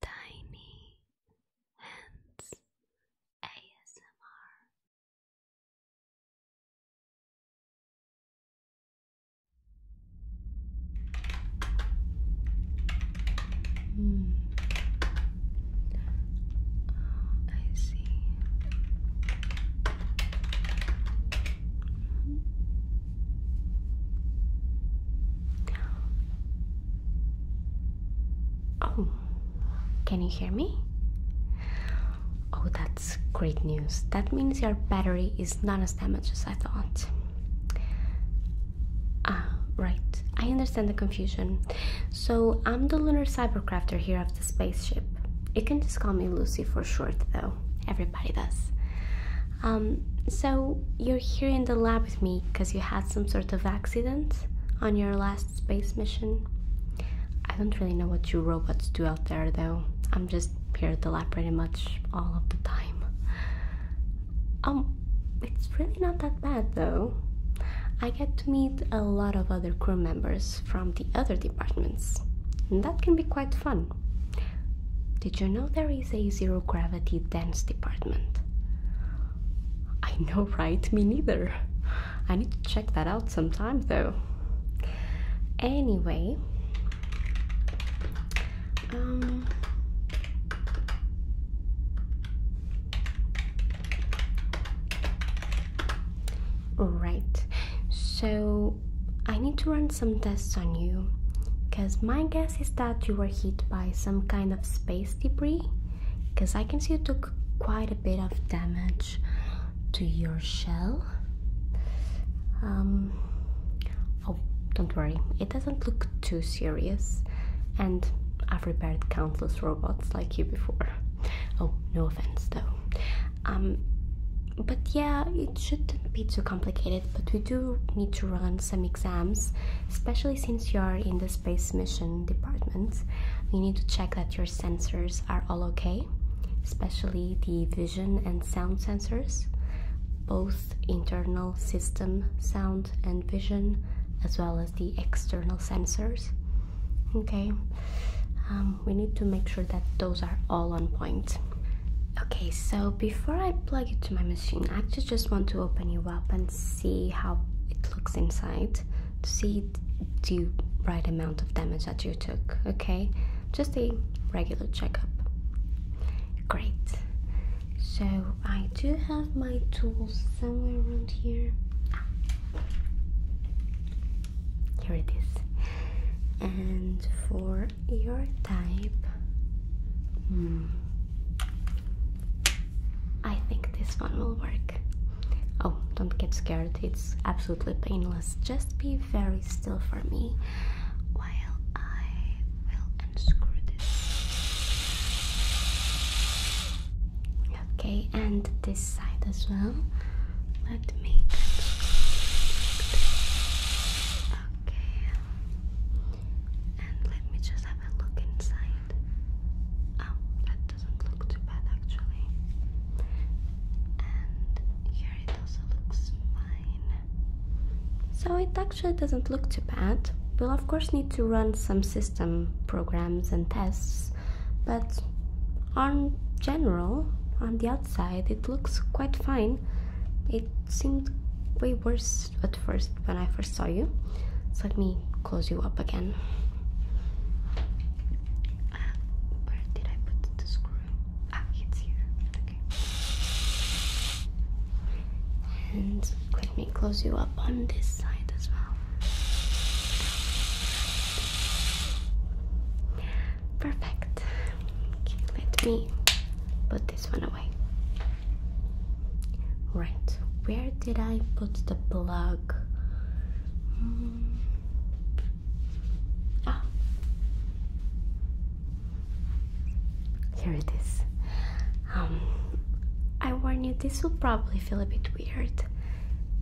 Tiny Hands ASMR. Mm. Oh, I see. Oh, can you hear me? Oh, that's great news. That means your battery is not as damaged as I thought. Ah, right. I understand the confusion. So, I'm the lunar cybercrafter here of the spaceship. You can just call me Lucy for short, though. Everybody does. Um, so you're here in the lab with me because you had some sort of accident on your last space mission. I don't really know what you robots do out there though. I'm just here at the lab pretty much all of the time. Um, it's really not that bad though. I get to meet a lot of other crew members from the other departments, and that can be quite fun. Did you know there a zero gravity dance department. I know, right? Me neither. I need to check that out sometime though. Anyway, um, Right, so I need to run some tests on you because my guess is that you were hit by some kind space debris because I can see you took quite a bit of damage to your shell. Um, oh, don't worry, it doesn't look too serious, and I've repaired countless robots like you before. Oh, no offense though. Um, but yeah, it shouldn't be too complicated, but we do need to run some exams, especially since you are in the space mission department, you need to check that your sensors are all okay, especially the vision and sound sensors, both internal system sound and vision, as well as the external sensors. Okay, um, we need to make sure that those are all on point. Okay, so before I plug it to my machine, I just want to open you up and see how it looks inside to see the right amount of damage that you took. Okay, just a regular checkup. Great. So I do have my tools somewhere around here. Here it is. And for your type, hmm, I think this one will work. Oh, don't get scared, it's absolutely painless. Just be very still for me while I will unscrew this. Okay, and this side as well. Let me Okay. And let me just have a look inside. Oh, that doesn't look too bad actually. And here it also looks fine. So it actually doesn't look too bad. We'll of course need to run some system programs and tests, but on general, on the outside, it looks quite fine. It seemed way worse first at first when I first saw you. let me close you up again. where did I put the screw? Ah, it's here. Okay. And let me close you up on this side as well. Perfect. let me put this one Right, where did I put the plug? Hmm. Ah, here it is. Um, I warn you, this will probably feel a bit weird.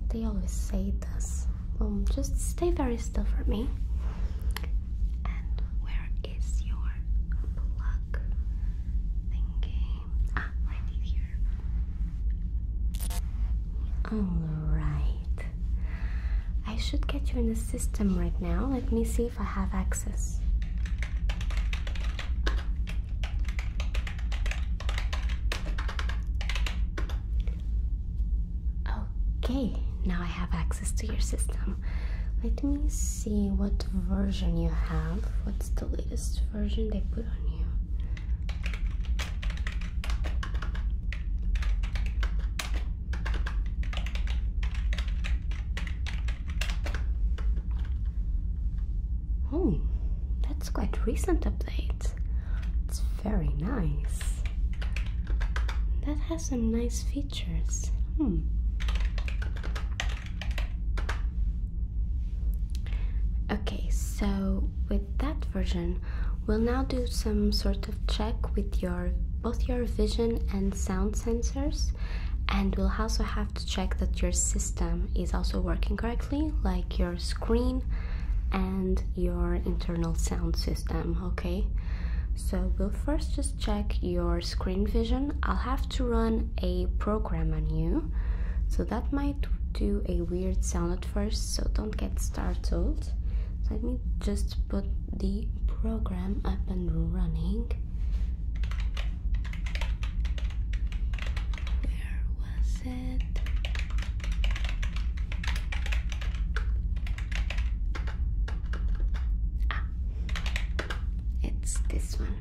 They always say this. Um, just stay very still for me. And where is your plug thingy? Ah, right here. Alright. I should get you in the system right now. Let me see if I have access. Okay, now I have access to your system. Let me see what version you have. What's the latest version they put on you? Oh, that's quite recent update. It's very nice. That has some nice features. Hmm. Okay, so with that version, we'll now do some sort of check with your both your vision and sound sensors and we'll also have to check that your system is also working correctly like your screen and your internal sound system okay so we'll first just check your screen vision. I'll have to run a program on you. So that might do a weird sound at first, so don't get startled. Let me just put the program up and running. Where was it? Ah, it's this one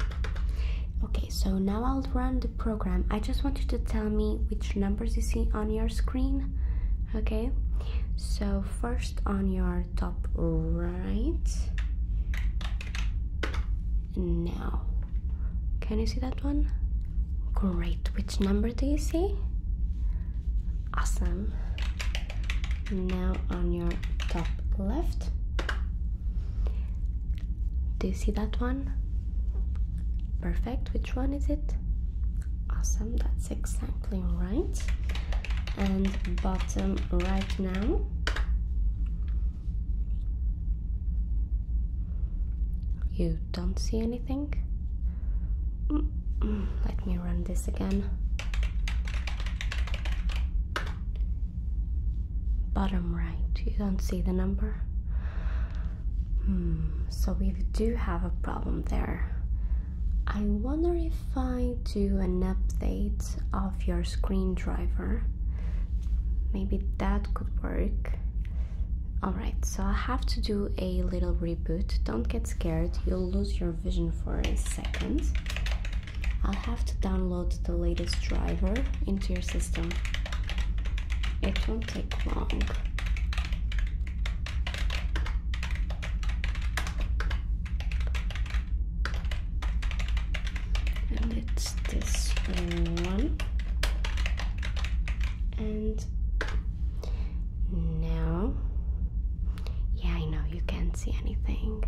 okay so now i'll run the program i just want you to tell me which numbers you see on your screen okay so first on your top right now can you see that one great which number do you see awesome now on your top left do you see that one? Perfect. Which one is it? Awesome. That's exactly right. And bottom right now. You don't see anything? Let me run this again bottom right you don't see the number hmm so we do have a problem there i wonder if i do an update of your screen driver maybe that could work Alright, so I have to do a little reboot. Don't get scared, you'll lose your vision for a second. I'll have to download the latest driver into your system. It won't take long. And it's this one. And now, yeah, I know you can't see anything.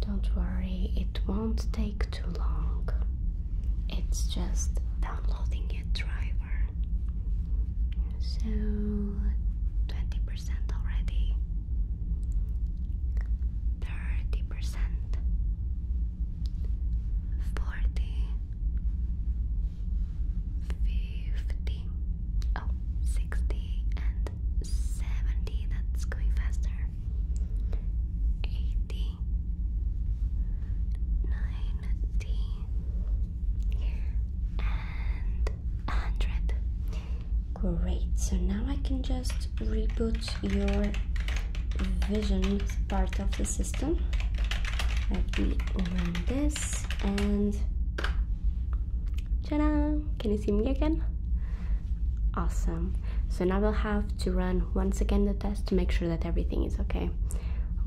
Don't worry, it won't take too long. It's just downloading a driver. So 20% already. 30%. 40 50 oh and 70 that's going faster eighty, ninety, and hundred. Great. So now I can just reboot your vision part of the system. Let me open this and ta Can you see me again? Awesome. So now we'll have to run once again the test to make sure that everything is okay.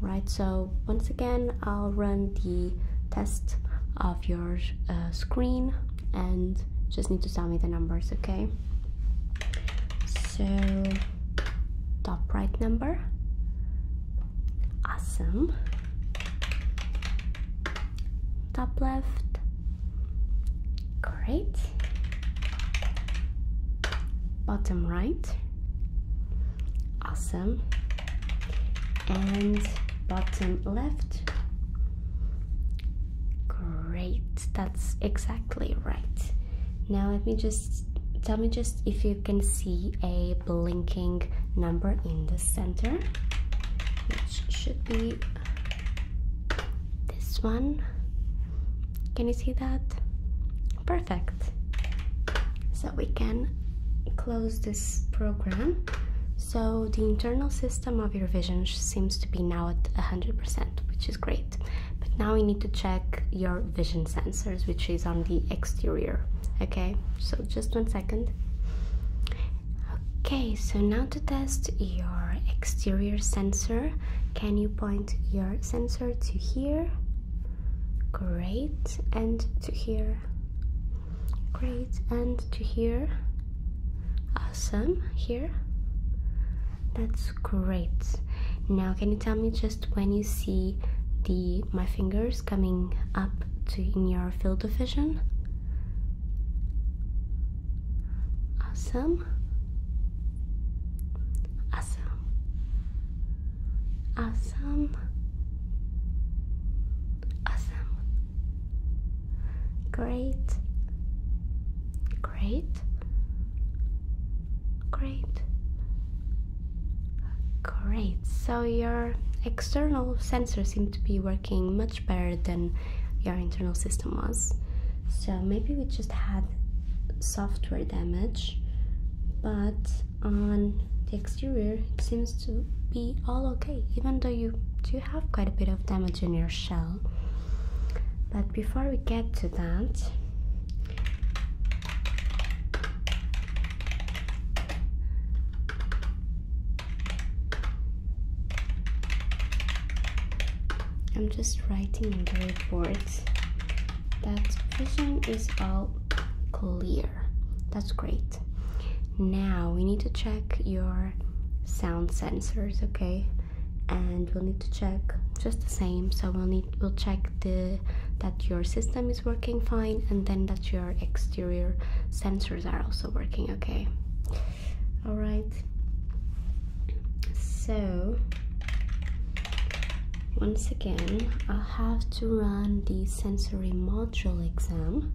All right, so once again, I'll run the test of your uh, screen and just need to tell me the numbers, okay? So, top right number. Awesome top left great bottom right awesome and bottom left great that's exactly right now let me just tell me just if you can see a blinking number in the center which should be this one. Can you see that? Perfect. So we can close this program. So the internal system of your vision seems to be now at 100%, which is great. But now we need to check your vision sensors, which is on the exterior. Okay, so just one second. Okay, so now to test your exterior sensor, can you point your sensor to here? Great, and to here. Great, and to here. Awesome, here. That's great. Now, can you tell me just when you see the my fingers coming up to in your field of vision? Awesome. Awesome. Awesome. Awesome. Great. Great. Great. Great. So your external sensors seem to be working much better than your internal system was. So maybe we just had software damage, but on the exterior it seems to be all okay, even though you do have quite a bit of damage in your shell. But before we get to that, I'm just writing the report that vision is all clear. That's great. Now we need to check your sound sensors, okay? And we'll need to check just the same. So we'll need we'll check the that your system is working fine and then that your exterior sensors are also working okay all right so once again i have to run the sensory module exam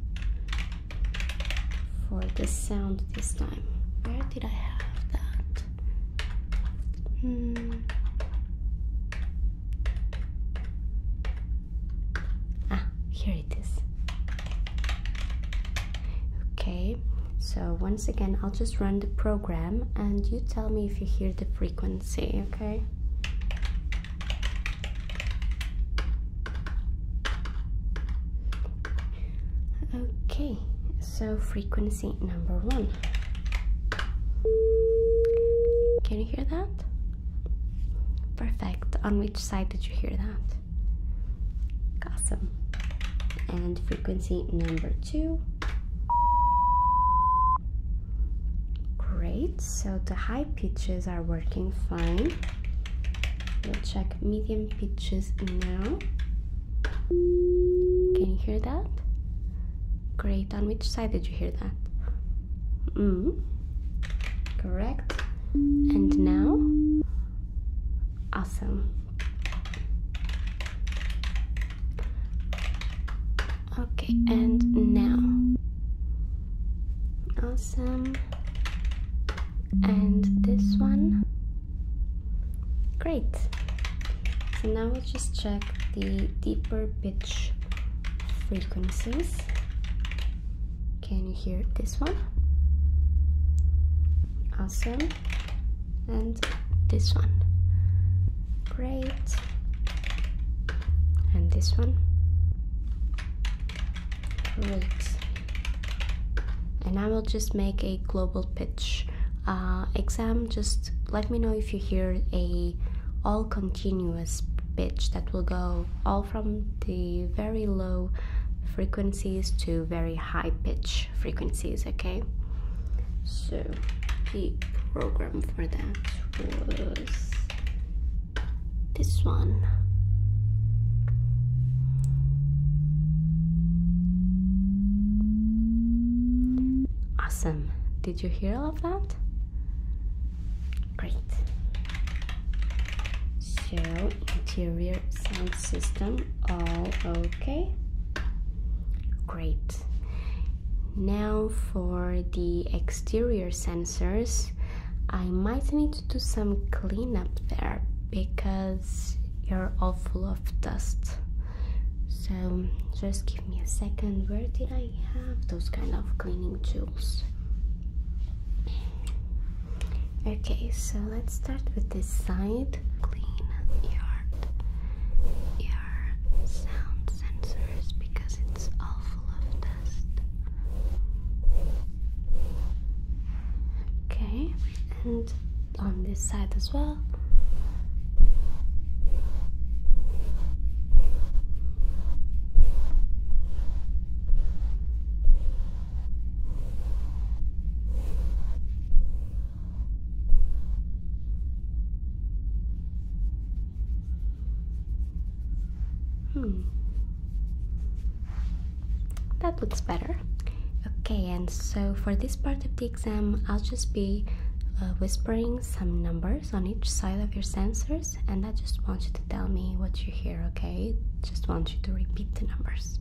for the sound this time where did i have that hmm. ah here okay so once again i'll just run the program and you tell me if you hear the frequency okay okay so frequency number one can you hear that perfect on which side did you hear that Awesome. And frequency number two. Great, so the high pitches are working fine. We'll check medium pitches now. Can you hear that? Great, on which side did you hear that? Mm. Correct. And now? Awesome. Okay, and now. Awesome. And this one. Great. So now we'll just check the deeper pitch frequencies. Can you hear this one? Awesome. And this one. Great. And this one. Great. And I will just make a global pitch uh, exam. Just let me know if you hear a all continuous pitch that will go all from the very low frequencies to very high pitch frequencies okay so the program for that was this one awesome did you hear all of that great so interior sound system all okay great now for the exterior sensors I might need to do some cleanup there because you're all full of dust so just give me a second where did I have those kind of cleaning tools Okay, so let's start with this side. Clean your ear sound sensors because it's all full of dust. Okay, and on this side as well. Hmm. That looks better. Okay, and so for this part of the exam, I'll just be uh, whispering some numbers on each side of your sensors, and I just want you to tell me what you hear, okay? Just want you to repeat the numbers.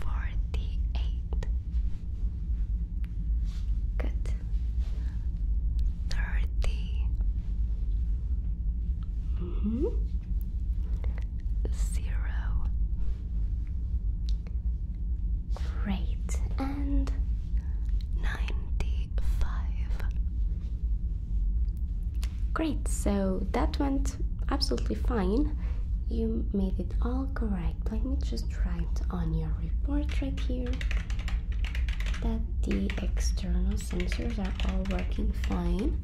Forty-eight. Good. Thirty. Mm -hmm. Zero. Great. And ninety-five. Great. So that went absolutely fine. You made it all correct. Let me just write on your report right here that the external sensors are all working fine.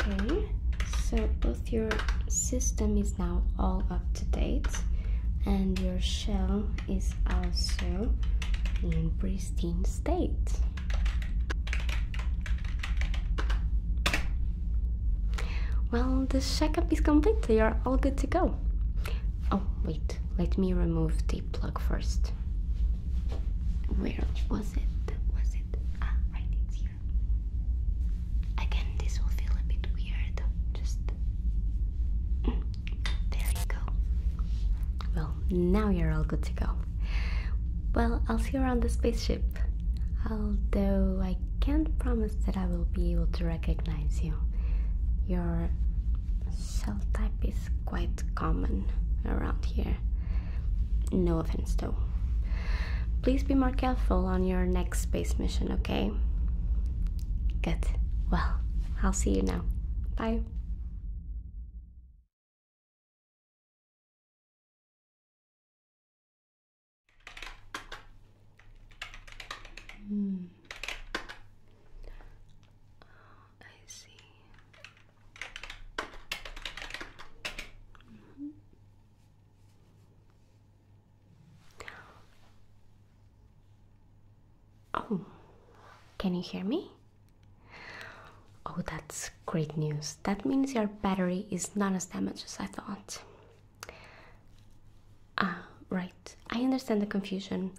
Okay, so both your system is now all up to date and your shell is also in pristine state. Well, the checkup is complete, you're all good to go. Oh, wait, let me remove the plug first. Where was it? Was it? Ah, right, here. Again, this will feel a bit weird. Just mm, there you go. Well, now you're all good to go. Well, I'll see you around the spaceship. Although I can't promise that I will be able to recognize you. Your cell type is quite common around here. No offense though. Please be more careful on your next space mission, okay? Good. Well, I'll see you now. Bye. Mm. Oh, I see. Oh, can you hear me? Oh, that's great news. That means your battery is not as damaged as I thought. Ah, right. I understand the confusion.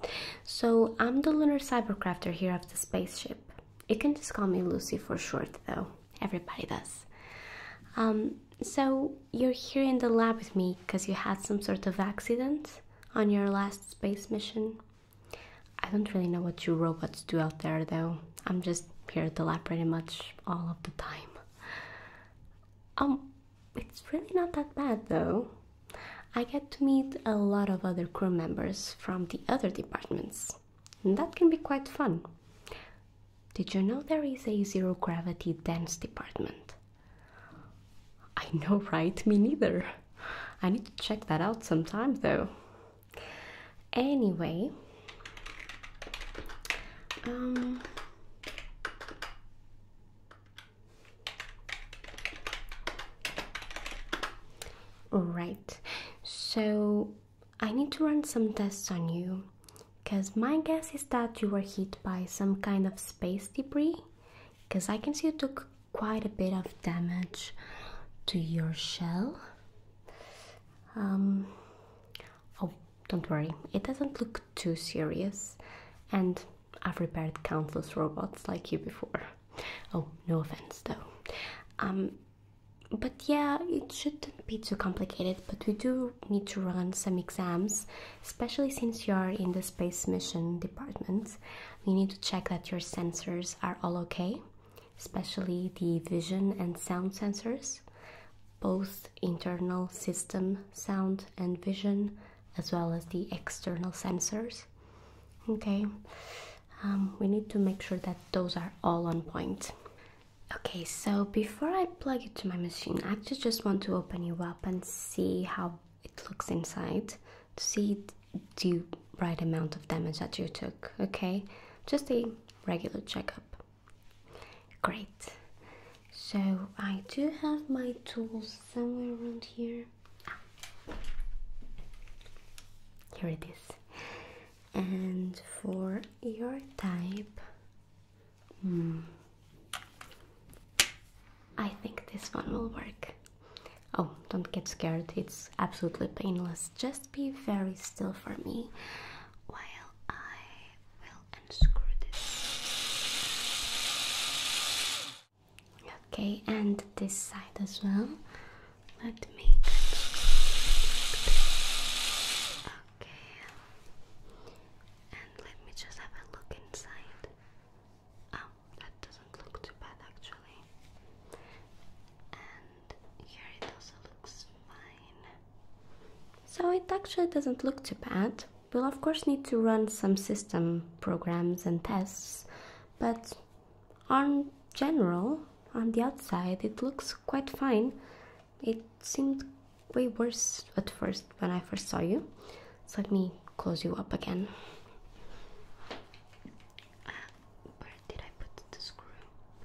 So, I'm the lunar cybercrafter here of the spaceship. You can just call me Lucy for short, though everybody does. Um, so you're here in the lab with me because you had some sort of accident on your last space mission. I don't really know what you robots do out there though. I'm just here at the lab pretty much all of the time. Um, it's really not that bad though. I get to meet a lot of other crew members from the other departments that can be quite fun. Did you know there is a zero gravity dance department? I know, right? Me neither. I need to check that out sometime though. Anyway, um, right, so I need to run some tests on you because my guess is that you were hit by some kind of space debris because I can see you took quite a bit of damage to your shell. Um, oh, don't worry, it doesn't look too serious, and I've repaired countless robots like you before. Oh, no offense though. Um, but yeah, it shouldn't be too complicated, but we do need to run some exams, especially since you are in the space mission department. We need to check that your sensors are all okay, especially the vision and sound sensors, both internal system sound and vision, as well as the external sensors. Okay, um, we need to make sure that those are all on point. Okay, so before I plug it to my machine, I actually just want to open you up and see how it looks inside to see the right amount of damage that you took. Okay, just a regular checkup. Great. So I do have my tools somewhere around here. Ah. Here it is and for your type hmm, I think this one will work. Oh, don't get scared, it's absolutely painless. Just be very still for me while I will unscrew this. Okay, and this side as well. Let me Okay. And let me just have a look inside. Oh, that doesn't look too bad actually. And here it also looks fine. So it actually doesn't look too bad. We'll of course need to run some system programs and tests, but on general, on the outside, it looks quite fine. It seemed way worse at first when I first saw you. So let me close you up again. where did I put the screw?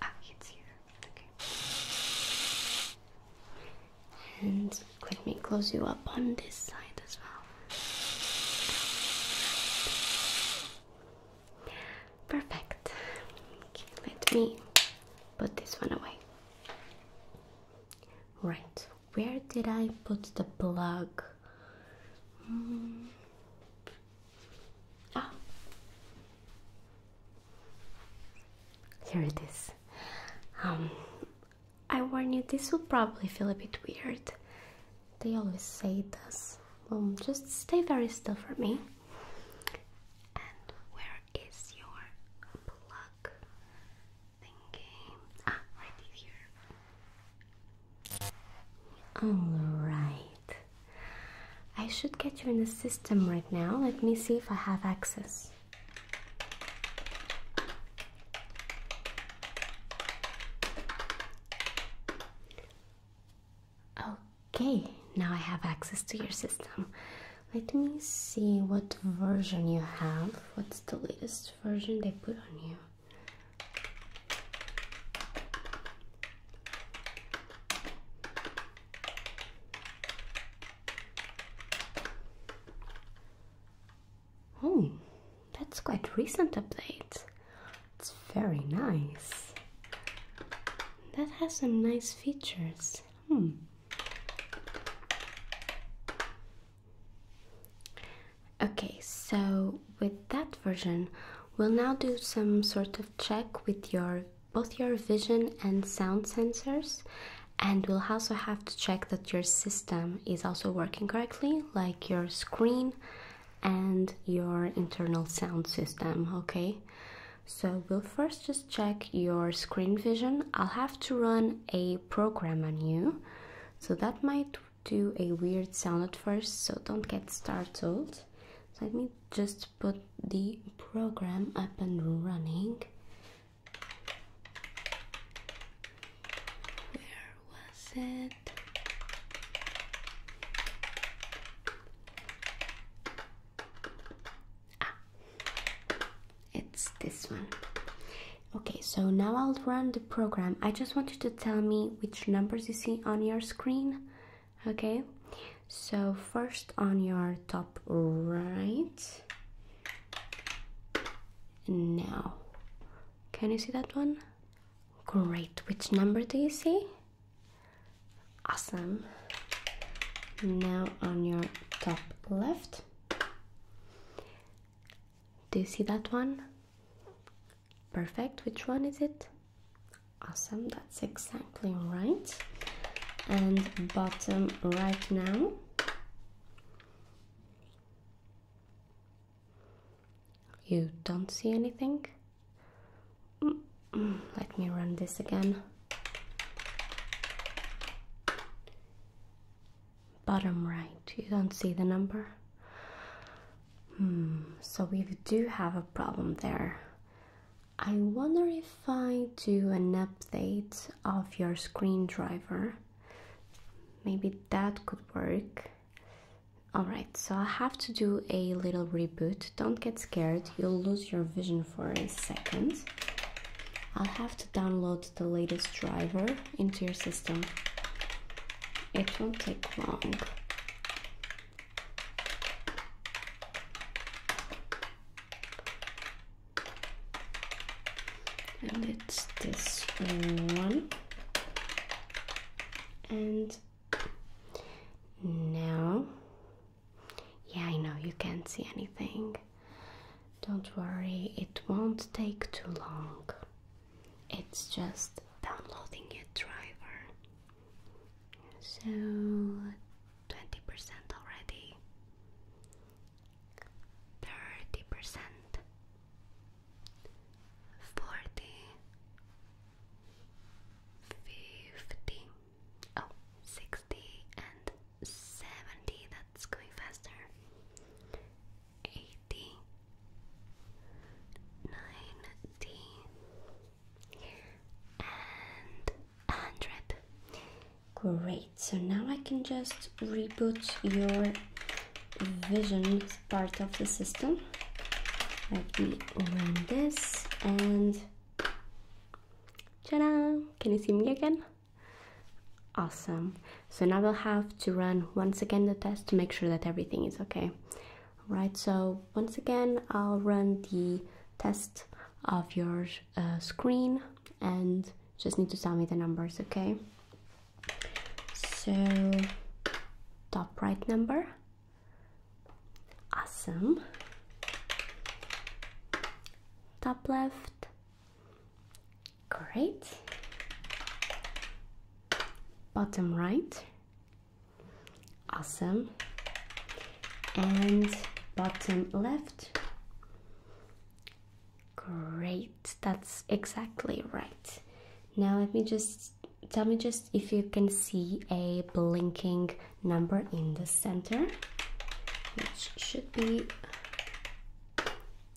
Ah, it's here. Okay. And let me close you up on this side as well. Perfect. let me put this one away. Right, where did I put the plug? Mm. Ah, here it is. Um, I warn you, this will probably feel a bit weird. They always say this. Um, just stay very still for me. And where is your plug Ah, right here. Alright. I should get you in the system right now. Let me see if I have access. Okay, now I have access to your system. Let me see what version you have. What's the latest version they put on you? Oh, that's quite recent update. It's very nice that has some nice features. Hmm. Okay, so with that version, we'll now do some sort of check with your both your vision and sound sensors and we'll also have to check that your system is also working correctly like your screen and your internal sound system okay so we'll first just check your screen vision. I'll have to run a program on you. So that might do a weird sound at first, so don't get startled. Let me just put the program up and running. Where was it? Ah, it's this one. Okay, so now I'll run the program. I just wanted to tell me which numbers you see on your screen. Okay, so first on your top right. Now, can you see that one? Great, which number do you see? Awesome. Now on your top left. Do you see that one? Perfect. Which one is it? Awesome. That's exactly right. And bottom right now. You don't see anything? Let me run this again. Bottom right, you don't see the number? Hmm, so we do have a problem there. I wonder if I do an update of your screen driver. Maybe that could work. Alright, so I have to do a little reboot. Don't get scared, you'll lose your vision for a second. I'll have to download the latest driver into your system. It won't take long. And it's this one. And now yeah, I know you can't see anything. Don't worry, it won't take too long. It's just downloading a driver. So, 20% already. 30%. 40 50 Oh, and 70, that's going faster. 80, 90, and 100. Great, so now I can just reboot your vision part of the system. Let me run this and ta Can you see me again? Awesome. So now we'll have to run once again the test to make sure that everything is okay. All right, so once again, I'll run the test of your uh, screen and just need to tell me the numbers, okay? So top right number awesome top left great bottom right awesome and bottom left great that's exactly right now let me just tell me just if you can see a blinking number in the center which should be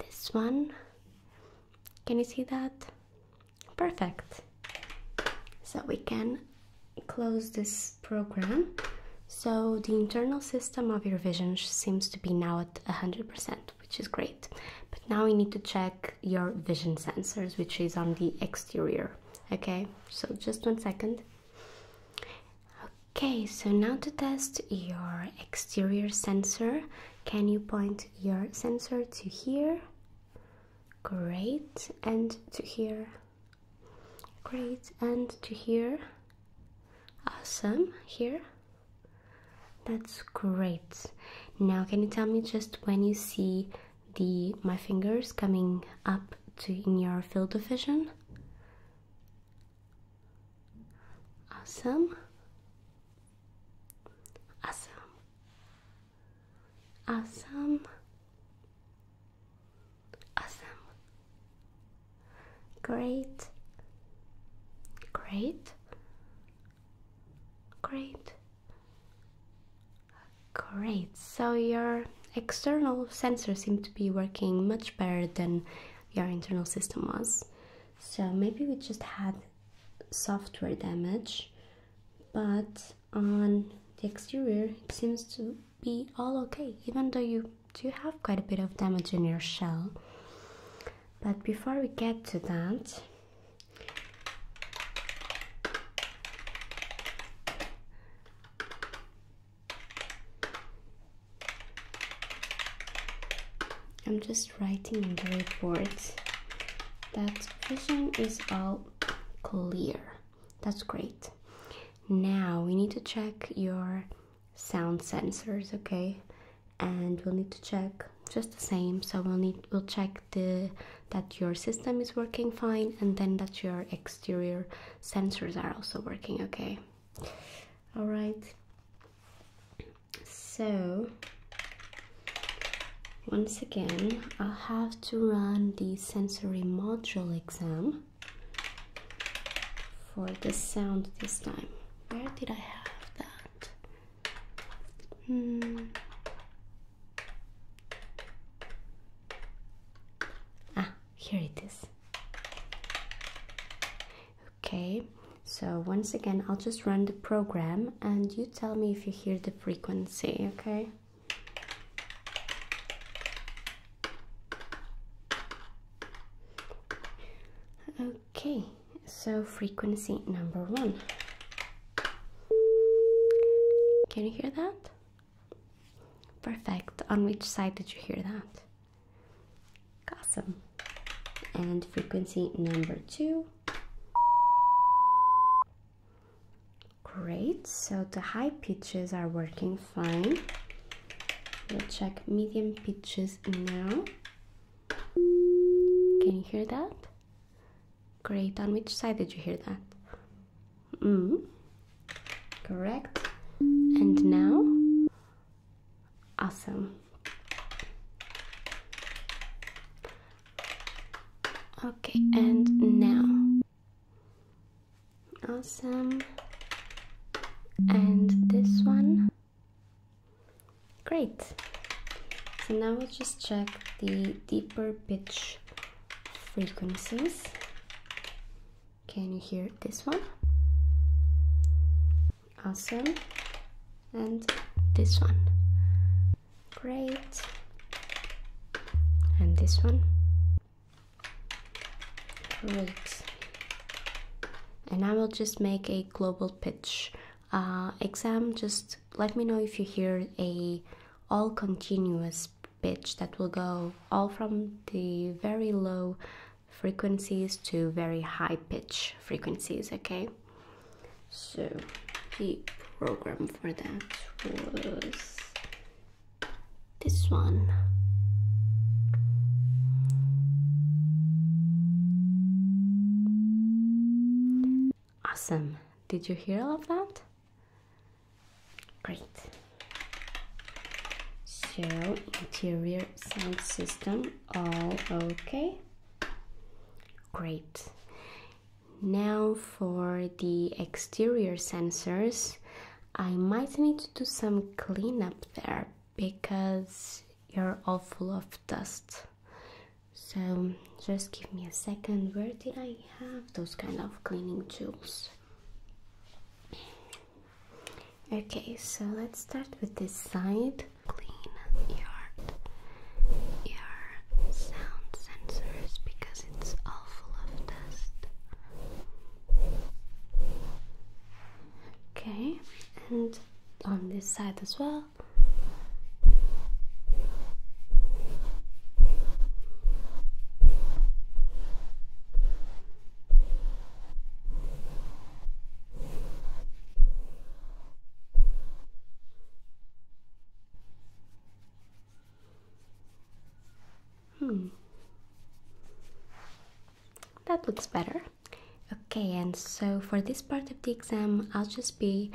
this one can you see that perfect so we can close this program so the internal system of your vision seems to be now at 100% which is great but now we need to check your vision sensors which is on the exterior okay so just one second okay so now to test your exterior sensor can you point your sensor to here great and to here great and to here awesome here that's great now can you tell me just when you see the my fingers coming up to in your field of vision. Awesome. Awesome. Awesome. Awesome. Great. Great. Great. Great, so your external sensor seemed to be working much better than your internal system was. So maybe we just had software damage, but on the exterior it seems to be all okay, even though you do have quite a bit of damage in your shell. But before we get to that, I'm just writing in the report that vision is all clear. That's great. Now we need to check your sound sensors, okay? And we'll need to check just the same. So we'll need we'll check the that your system is working fine and then that your exterior sensors are also working okay. All right. So, once again, i have to run the sensory module exam for the sound this time. Where did I have that? Hmm. Ah, here it is. Okay, so once again, I'll just run the program and you tell me if you hear the frequency, okay? Okay, so frequency number one. Can you hear that? Perfect. On which side did you hear that? Awesome. And frequency number two. Great. So the high pitches are working fine. We'll check medium pitches now. Can you hear that? Great. On which side did you hear that? Mm. Correct. And now, awesome. Okay, and now, awesome. And this one, great. So now we'll just check the deeper pitch frequencies. Can you hear this one? Awesome. And this one. Great. And this one. Great. And I will just make a global pitch uh, exam. Just let me know if you hear a all continuous pitch that will go all from the very low frequencies to very high pitch frequencies okay so the program for that was this one awesome did you hear all of that Great. So interior sound system, all okay. Great. Now for the exterior sensors, I might need to do some cleanup there because you're all full of dust. So just give me a second. Where did I have those kind of cleaning tools? Okay, so let's start with this side. Clean your your sound sensors because it's all full of dust. Okay, and on this side as well. Hmm. That looks better. Okay, and so for this part of the exam, I'll just be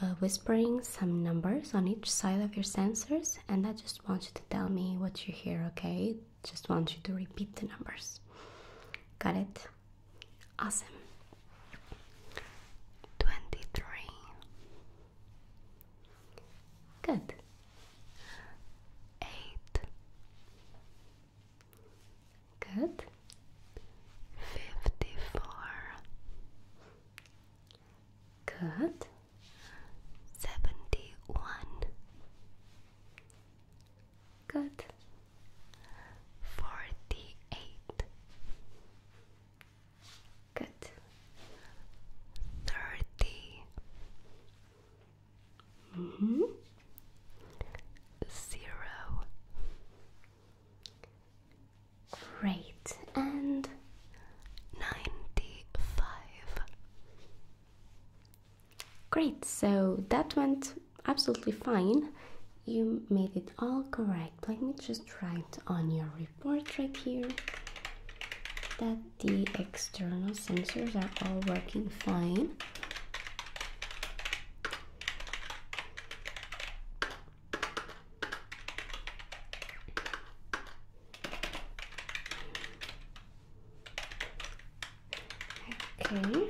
uh, whispering some numbers on each side of your sensors and I just want you to tell me what you hear, okay? Just want you to repeat the numbers. Got it? Awesome. 23. Good. 8. Good. 54. Good. Seventy one. Good. Forty eight. Good. Thirty. Mm-hmm. Zero. Great and ninety five. Great, so that went absolutely fine. You made it all correct. Let me just write on your report right here that the external sensors are all working fine. Okay,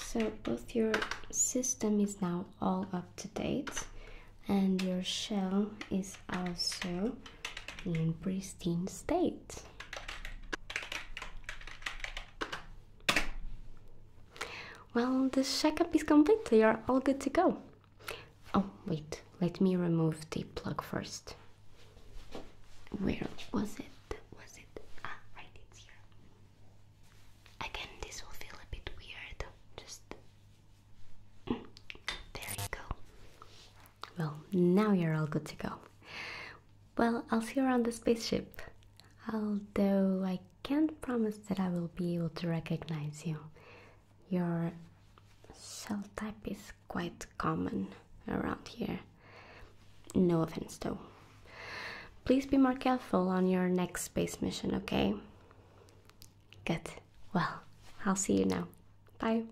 so both your system is now all up to date and your shell is also in pristine state. Well, the checkup is complete, you are all good to go. Oh, wait, let me remove the plug first. Where was it? Was it? Ah, right, it's here. Again, this will feel a bit weird. Just. Mm, there you go. Well, now you're all good to go. Well, I'll see you around the spaceship. Although I can't promise that I will be able to recognize you. Your cell type is quite common around here. No offense though. Please be more careful on your next space mission, okay? Good. Well, I'll see you now. Bye.